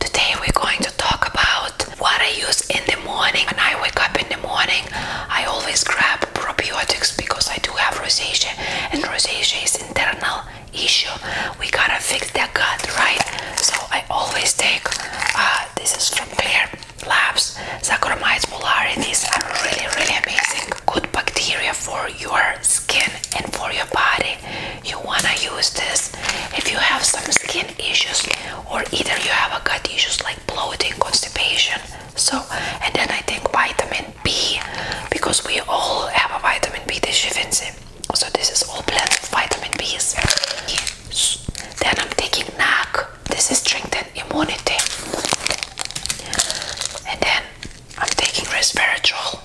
Today we're going to talk about what I use in the morning. When I wake up in the morning, I always grab probiotics because I do have rosacea and rosacea is internal issue. We gotta fix that gut, right? So I always take, uh, this is from Clear Labs, Saccharomyces boulardii. These are really, really amazing. Good bacteria for your skin and for your body. You wanna use this. If you have some skin issues or either you have a gut issues like bloating constipation so and then i think vitamin b because we all have a vitamin b deficiency so this is all plant vitamin b's then i'm taking nac this is strengthen immunity and then i'm taking resveratrol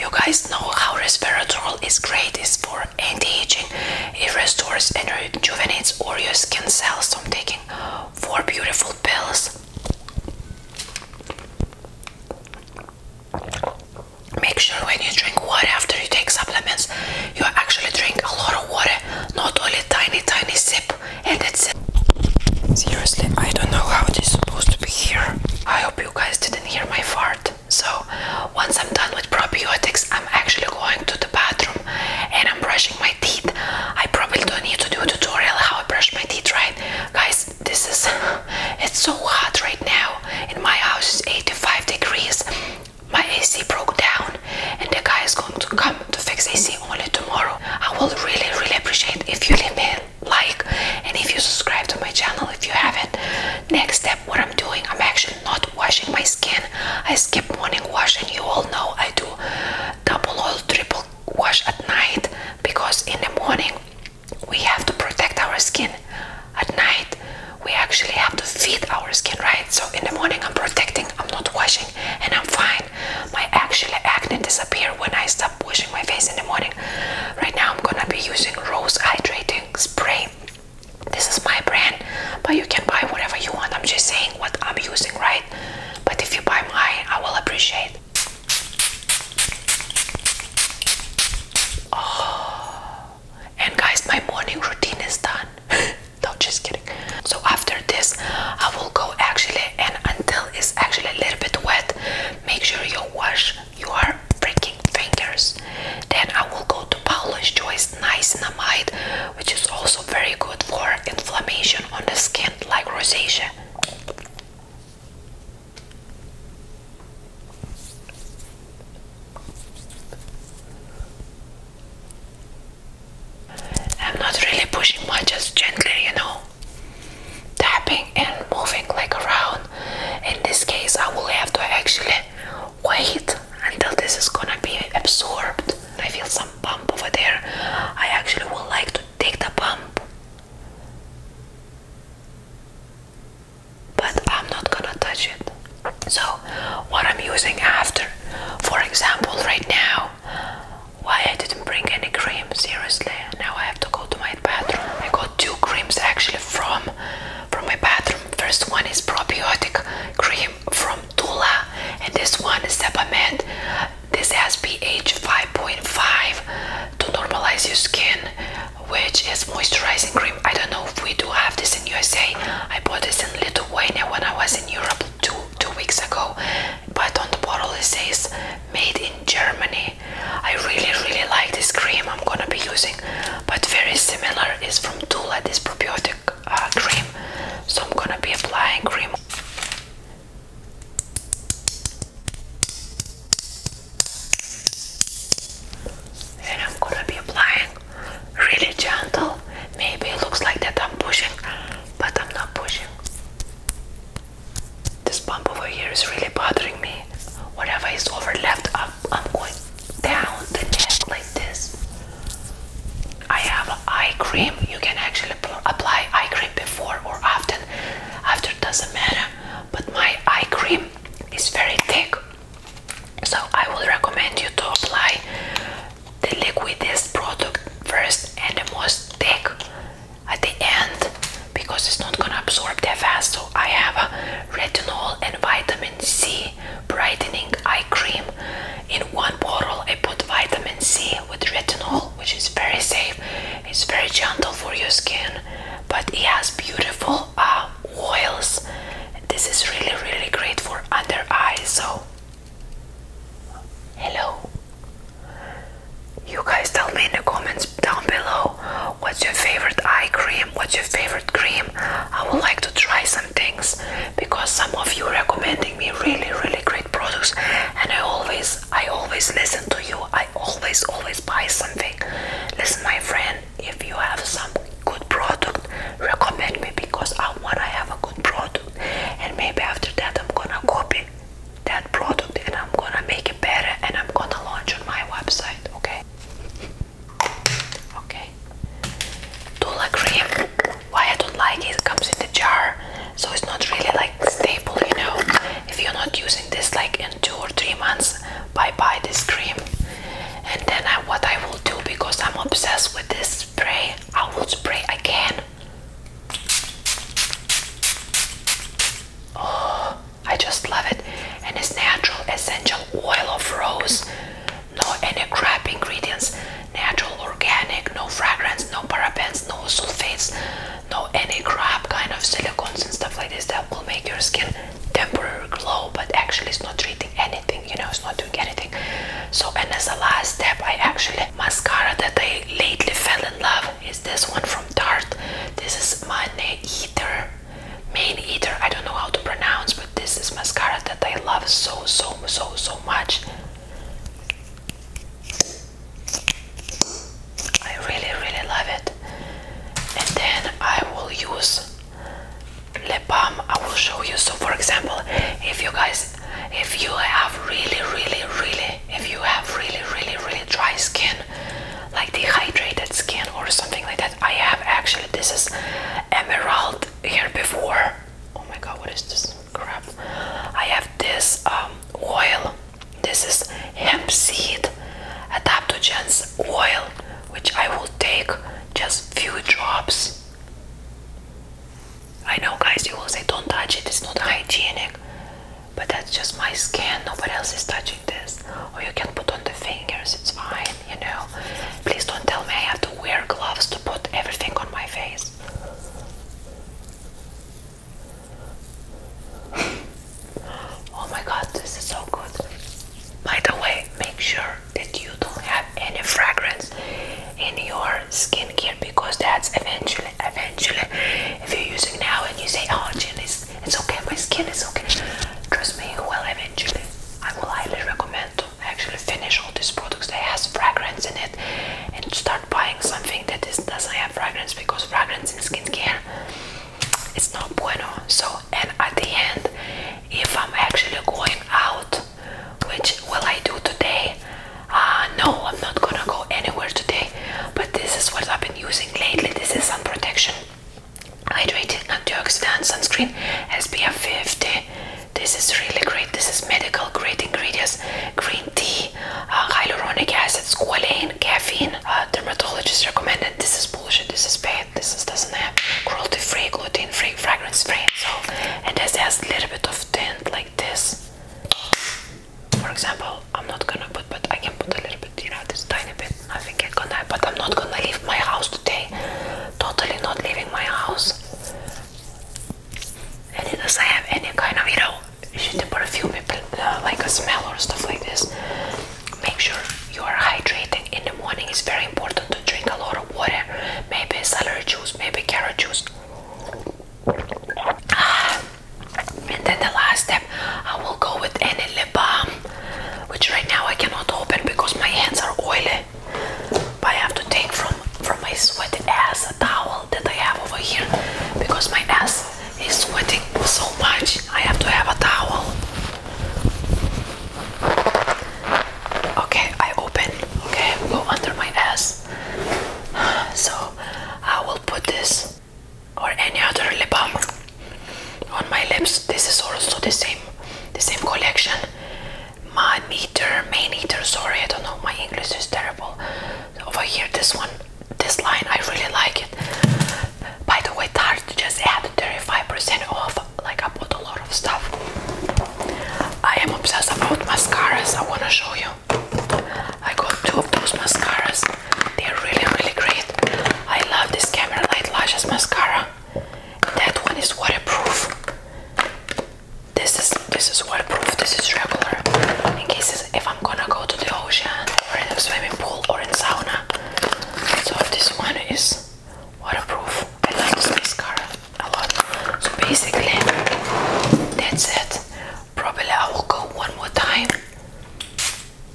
you guys know how respiratory is great. is for anti-aging. It restores and rejuvenates all your skin cells. So I'm taking four beautiful pills. Make sure when you drink water after you take supplements, you actually drink a lot of water, not only tiny, tiny sip, and that's it. Seriously, I don't know how this is supposed here. I hope you guys didn't hear my fart. So once I'm done with probiotics, I'm actually going to the bathroom and I'm brushing my teeth. I probably don't need to do a tutorial how I brush my teeth, right? Guys, this is it's so hot right now. In my house is 85 degrees. My AC broke down and the guy is going to come to fix AC only tomorrow. I will really really appreciate if you leave me like, and if you subscribe to my channel, if you haven't. Next step, what I'm doing, I'm actually not washing my skin. I skip morning wash, and you all know I do double or triple wash at night because in the morning we have to protect our skin. At night, we actually have to feed our skin, right? So in the morning, I'm protecting, I'm not washing, and I'm fine. My actually acne disappeared when I stopped washing my face in the morning. Right now, I'm gonna be using Rose Hydrating Spray. This is my brand, but you can buy whatever you want. I'm just saying what I'm using, right? But if you buy mine, I will appreciate. Oh, and guys, my morning routine is done. no, just kidding. So after this, I will go actually, and until it's actually a little bit wet, make sure you wash your freaking fingers. Then I will go to Paula's Choice Niacinamide, which is also very good for inflammation on the skin, like rosacea. I'm not really pushing much, just gently, you know tapping and moving like around in this case I will have to actually wait until this is gonna be absorbed I feel some bump over there I actually would like to take the bump but I'm not gonna touch it so what I'm using after for example right now why I didn't bring any cream seriously now I have to go to my bathroom I go two creams actually from from my bathroom. First one is probiotic cream from Tula, and this one is Sebamed. This has pH 5.5 to normalize your skin, which is moisturizing cream. I don't know if we do have this in USA. I bought this in Lithuania when I was in Europe two two weeks ago. But on the bottle it says made in Germany I really, really like this cream I'm gonna be using, but very similar is from Tula, this probiotic uh, cream. So I'm gonna be applying cream. And I'm gonna be applying really gentle. Maybe it looks like that I'm pushing, but I'm not pushing. This bump over here is really bothering me. Whatever is over left, up, I'm going down the neck like this. I have eye cream. You can actually apply eye cream before or after. After doesn't matter. But my eye cream is very thick, so I would recommend you to apply the liquidiest product first and the most thick at the end because it's not gonna absorb that fast. So I have a retinol and vitamin C brightening eye cream in one bottle. I put vitamin C with retinol, which is very safe. It's very gentle for your skin, but it has beautiful uh, oils. This is really, really great for under eyes. So, hello you guys tell me in the comments down below what's your favorite eye cream what's your favorite cream i would like to try some things because some of you recommending me really really great products and i always i always listen to you i always always buy something listen my friend if you have some good product recommend me because i want to have a good product and maybe after that i'm gonna copy that product and I'm gonna make it better and I'm gonna launch on my website, okay? Okay. Tula cream. Why I don't like it, it comes in the jar, so it's not really like staple, you know. If you're not using this like in two or three months, bye bye this cream. And then what I will do because I'm obsessed with this spray, I will spray again. Oh, I just love it. And it's natural essential oil of rose. No any crap ingredients. Natural, organic, no fragrance, no parabens, no sulfates, no any crap kind of silicones and stuff like this that will make your skin temporary glow, but actually it's not treating anything, you know, it's not doing anything. So and as a last step I actually mascara that I lately fell in love is this one from Tarte. This is Mane Eater. Main Eater. I don't know how to pronounce, but this is mascara that I love so so so so much. I really really love it. And then I will use lip balm. I will show you. So for example, if you guys if you have really really really if you have really really really dry skin like dehydrated skin or something like that I have actually this is emerald here before oh my god what is this crap I have this um, oil this is hemp seed adaptogens oil which I will take just few drops I know guys you will say don't touch it it's not hygienic but that's just my skin. Nobody else is touching this. Or you can put on the fingers. It's fine, you know. Please don't tell me I have to wear gloves to put everything on my face. oh my god, this is so good. By the way, make sure that you don't have any fragrance in your skincare because that's eventually, eventually, if you're using now and you say, oh, Jen is it's okay. My skin is okay. Trust me. Well, eventually, I will highly recommend to actually finish all these products that has fragrance in it, and start buying something that is, doesn't have fragrance because fragrance in skincare it's not bueno. So, and at the end, if I'm actually going out, which will I do today? Uh, no, I'm not gonna go anywhere today but this is what I've been using lately this is sun protection hydrating antioxidant sunscreen SPF 50 this is really great this is medical great ingredients green tea uh, hyaluronic acid squalane caffeine uh, dermatologist recommended this is bullshit this is bad this doesn't have cruelty free gluten free fragrance free so and this has a little bit of tint like this for example, I'm not gonna put, but I can put a little bit, you know, this tiny bit. I think I'm gonna, but I'm not gonna leave my house today. Totally not leaving my house. And it doesn't have any kind of, you know, you should put perfume, but uh, like a smell or stuff like this. Make sure you are hydrating in the morning. It's very important to drink a lot of water. Maybe celery juice, maybe carrot juice. Ah, and then the last step I will go with any lip balm which right now I cannot open because my hands are oily but I have to take from from my sweat ass a towel that I have over here because my ass is sweating so much I have to have a towel okay I open okay go under my ass so I will put this or any other lip balm on my lips. This is also the same, the same collection. My meter, main eater, sorry, I don't know, my English is terrible. Over here, this one, this line, I really like it. By the way, Tarte just had 35% off, like I bought a lot of stuff. I am obsessed about mascaras, I wanna show you. I got two of those mascaras. They're really, really great. I love this Camera Light Lashes mascara. That one is waterproof. This is this is waterproof. This is regular. In cases if I'm gonna go to the ocean or in a swimming pool or in sauna. So this one is waterproof. I love this mascara a lot. So basically, that's it. Probably I will go one more time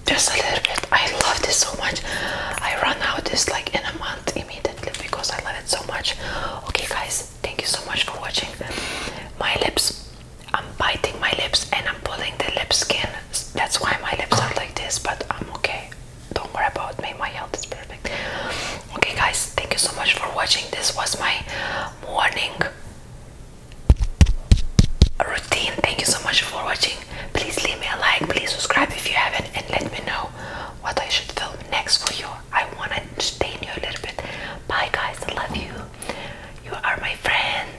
just a little bit. I love this so much. I run out this like in a month immediately because I love it so much. Okay, guys, thank you so much for watching. My lips, I'm biting my lips and I'm pulling the lip skin. That's why my lips are like this, but I'm okay. Don't worry about me. My health is perfect. Okay, guys, thank you so much for watching. This was my morning routine. Thank you so much for watching. Please leave me a like, please subscribe if you haven't, and let me know what I should film next for you. I want to entertain you a little bit. Bye, guys. I love you. You are my friend.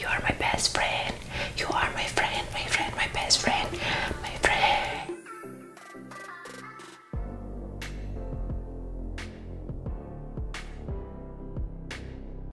You are my best friend. You are my friend, my friend, my best friend, my friend.